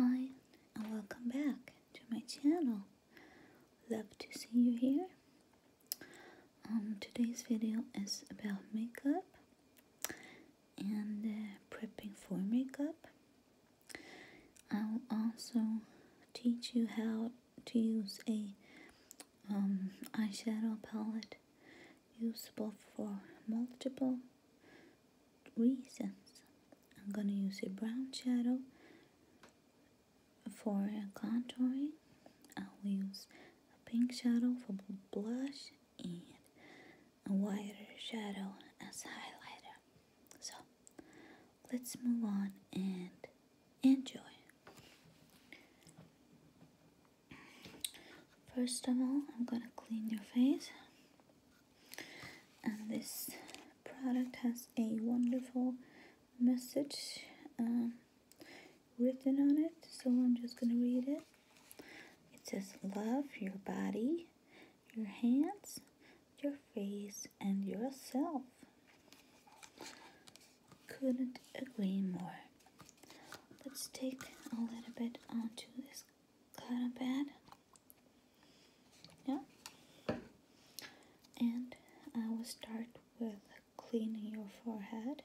Hi and welcome back to my channel. Love to see you here. Um, today's video is about makeup and uh, prepping for makeup. I will also teach you how to use a um, eyeshadow palette usable for multiple reasons. I'm gonna use a brown shadow for contouring. I will use a pink shadow for blush and a wider shadow as highlighter. So let's move on and enjoy. First of all, I'm gonna clean your face. And this product has a wonderful message um, written on it, so I'm just gonna read it. It says, Love your body your hands, your face, and yourself. Couldn't agree more. Let's take a little bit onto this cotton pad. Yeah. And I will start with cleaning your forehead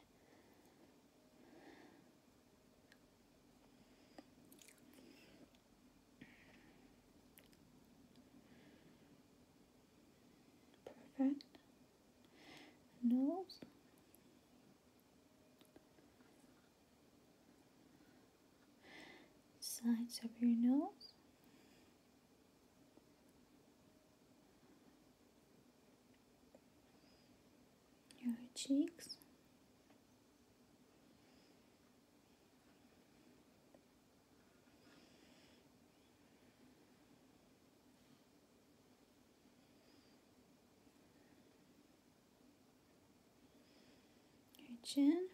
Perfect. Nose. Sides of your nose your cheeks. Your chin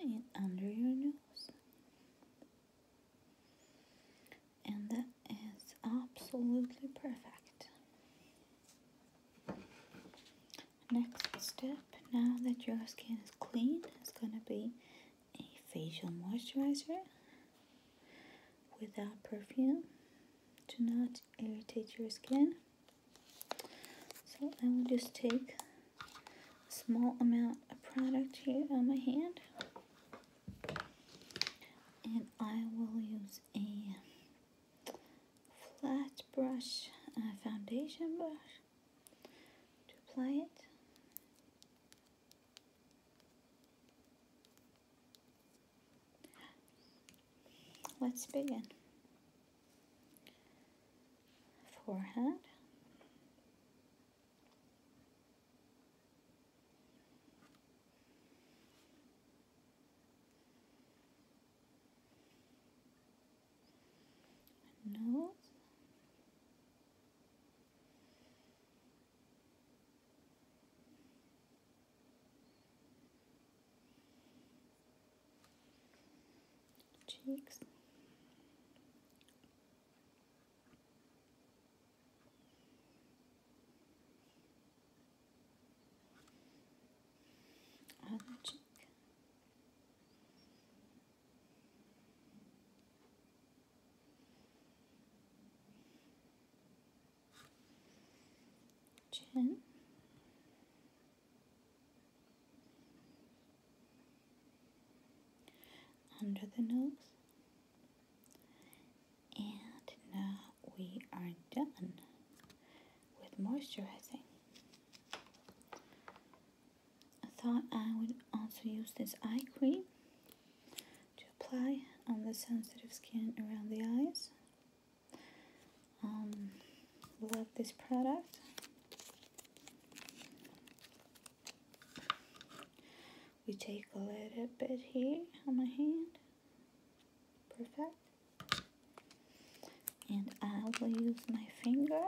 and under your nose and that is absolutely perfect. Next step, now that your skin is clean, is gonna be a facial moisturizer without perfume to not irritate your skin. So I will just take a small amount of product here on my hand and I will use a flat brush, a foundation brush to apply it. Let's begin. Forehead nose. Cheeks on the Chin. Under the nose and now we are done with moisturizing. I thought I would also use this eye cream to apply on the sensitive skin around the eyes. Um, love this product. We take a little bit here on my hand. Perfect and I will use my finger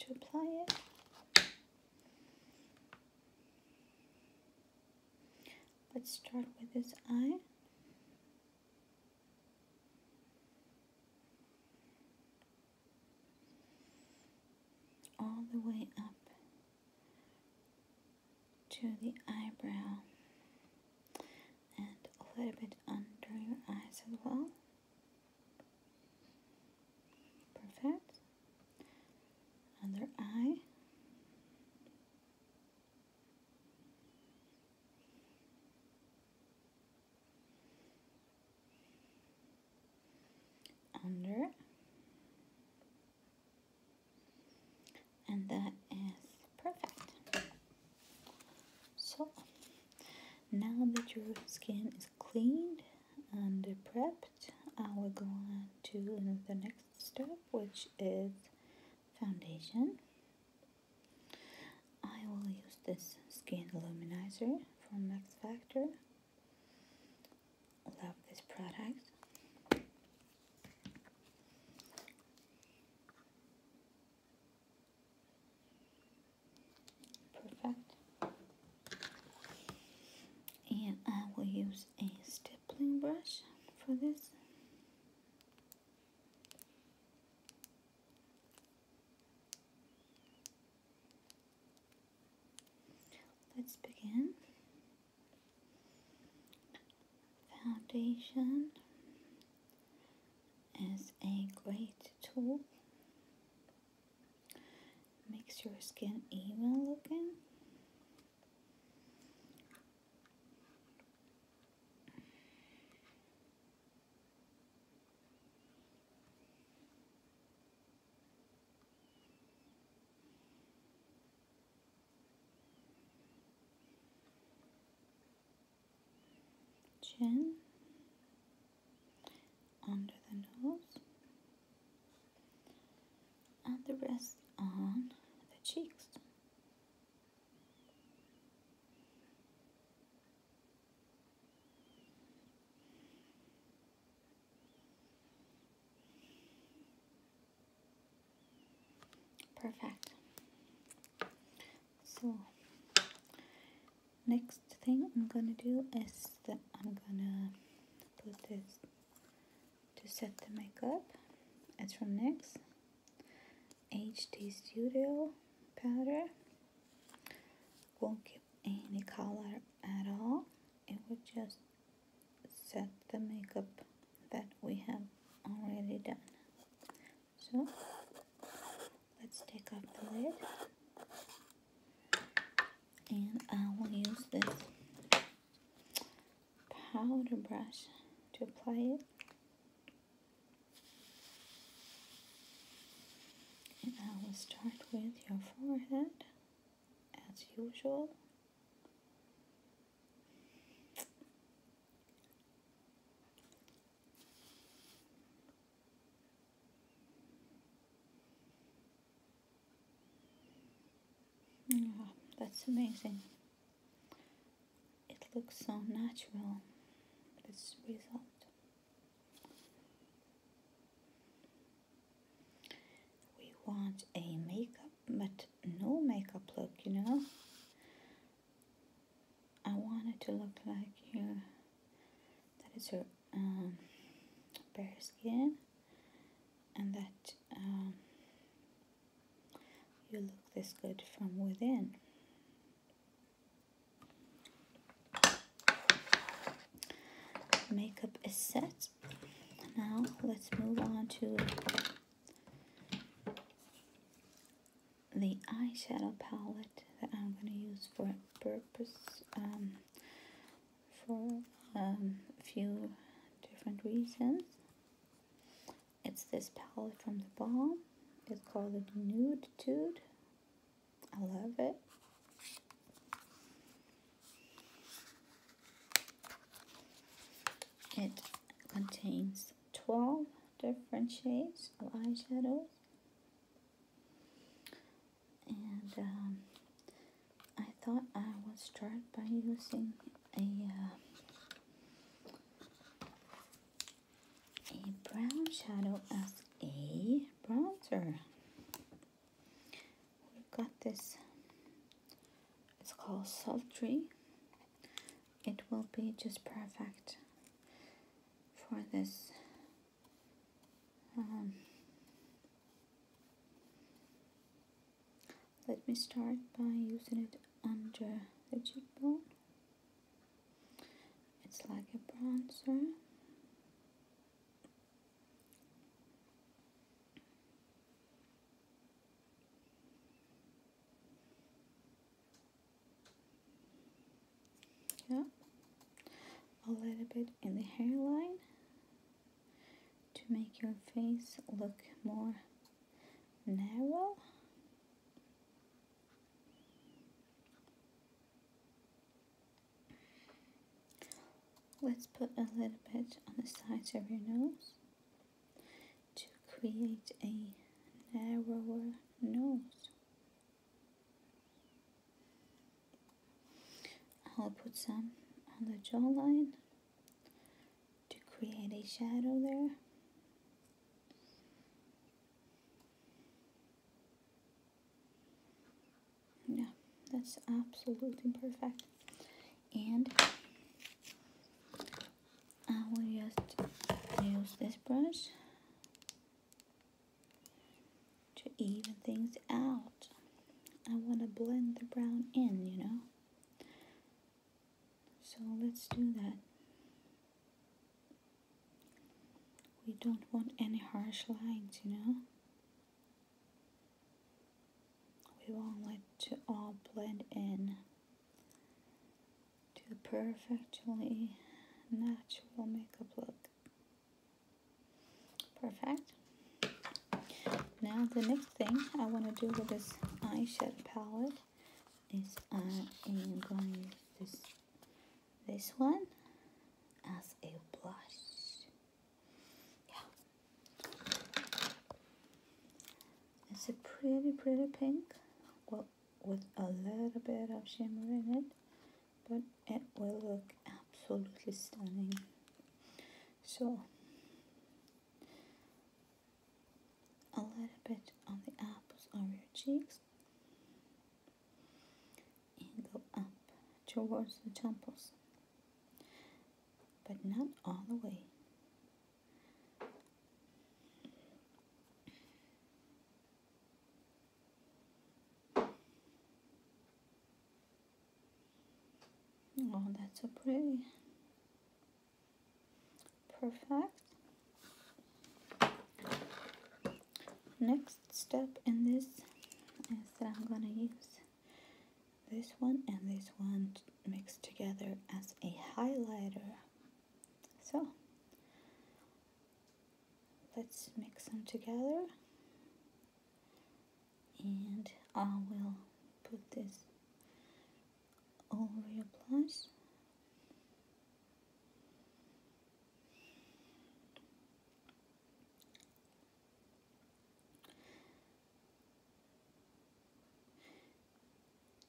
to apply it. Let's start with this eye. All the way up to the eyebrow and a little bit under your eyes as well. Perfect. Under eye. under and that is perfect so now that your skin is cleaned and prepped I will go on to the next step which is foundation I will use this skin illuminizer from Max Factor love this product Perfect. And I will use a stippling brush for this. Let's begin. Foundation is a great tool. Makes your skin even looking chin, under the nose, and the rest on the cheeks. Perfect. So next thing I'm gonna do is that I'm gonna put this to set the makeup. It's from Next HD Studio powder. Won't give any color at all. It will just set the makeup that we have already done. So let's take off the lid and I will use this powder brush to apply it. And I will start with your forehead as usual. Oh, that's amazing. It looks so natural, this result. We want a makeup, but no makeup look, you know? I want it to look like you know, that is your um, bare skin and that um, you look this good from within. Makeup is set. Now let's move on to the eyeshadow palette that I'm going to use for a purpose um, for um, a few different reasons. It's this palette from the bomb. It's called the Nude Tude. I love it. It contains 12 different shades of eyeshadows. And um, I thought I would start by using a, uh, a brown shadow as a bronzer. We've got this, it's called Sultry it will be just perfect for this um, let me start by using it under the cheekbone it's like a bronzer yeah a little bit in the hairline to make your face look more narrow let's put a little bit on the sides of your nose to create a narrower nose. I'll put some on the jawline to create a shadow there. Yeah, that's absolutely perfect. And I will just use this brush to even things out. I want to blend the brown in, you know? So let's do that. We don't want any harsh lines, you know? We want it to all blend in to a perfectly natural makeup look. Perfect. Now the next thing I want to do with this eyeshadow palette is I am going to use this, this one as a blush. Yeah. It's a pretty, pretty pink. Well, with a little bit of shimmer in it but it will look absolutely stunning so a little bit on the apples of your cheeks and go up towards the temples but not all the way Oh, that's so pretty. Perfect. Next step in this is that I'm gonna use this one and this one mixed together as a highlighter so let's mix them together and I will put this over your blouse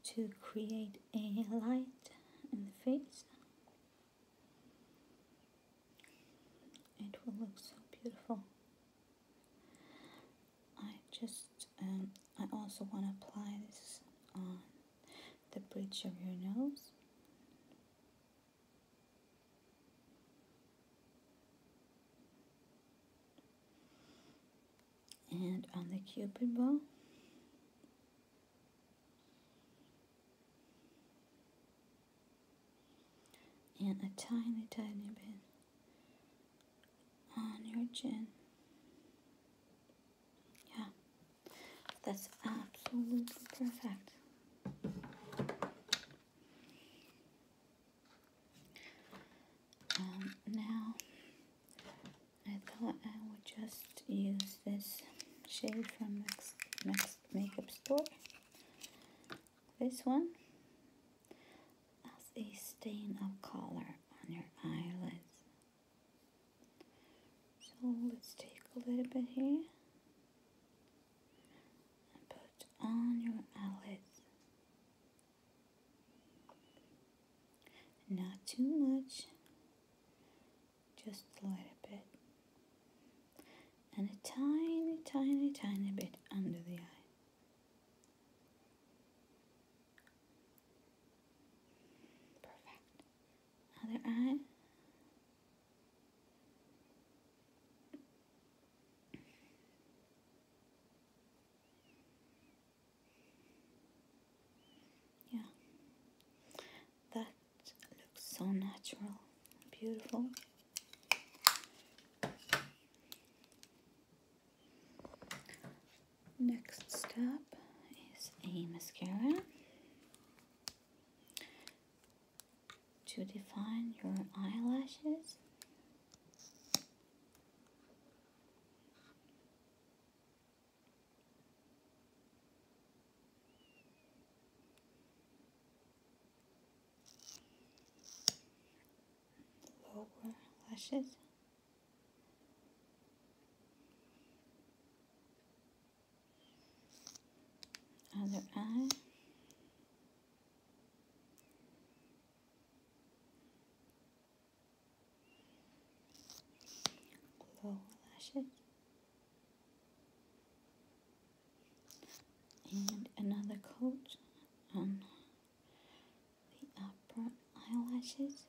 to create a light in the face. It will look so beautiful. I just, um, I also want to apply this on the bridge of your nose. And on the cupid bow, and a tiny, tiny bit on your chin. Yeah, that's absolutely perfect. Um, now I thought I would just use this shade from Max, next Makeup Store, this one, as a stain of color on your eyelids. So let's take a little bit here and put on your eyelids. Not too much, just a little bit, and a tiny, tiny, tiny bit under the eye. Perfect. Other eye. Yeah, that looks so natural, beautiful. Next step is a mascara to define your eyelashes lower lashes. Other eye lower lashes and another coat on the upper eyelashes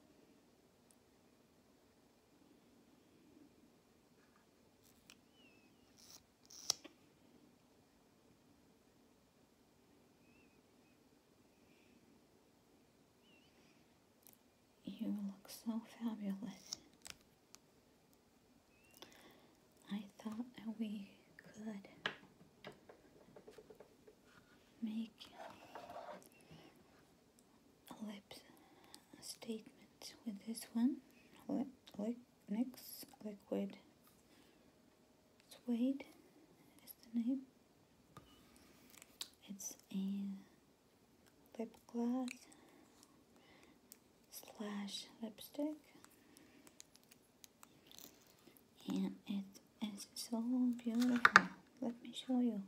you look so fabulous. I thought that we could make lips statement with this one. Lip, next liquid suede is the name. It's a lip gloss slash lipstick and it is so beautiful let me show you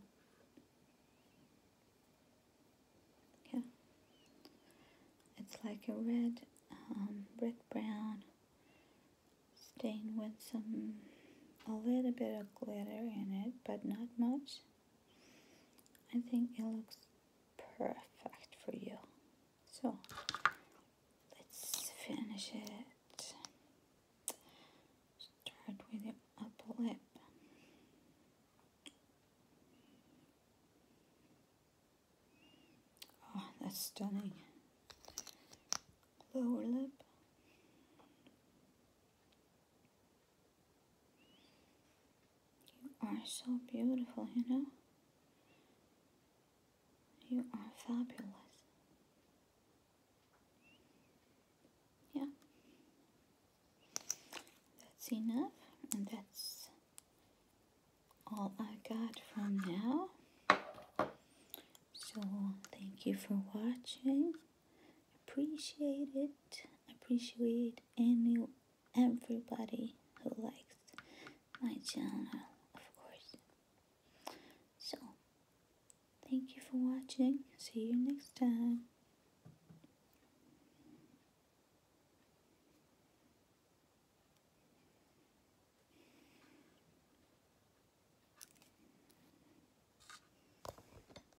yeah it's like a red um, brick brown stain with some a little bit of glitter in it but not much I think it looks perfect for you. So let's finish it. Start with the upper lip. Oh, that's stunning. Lower lip. You are so beautiful, you know? You are fabulous. Yeah. That's enough, and that's all I got from now. So, thank you for watching appreciate it appreciate any everybody who likes my channel of course so thank you for watching see you next time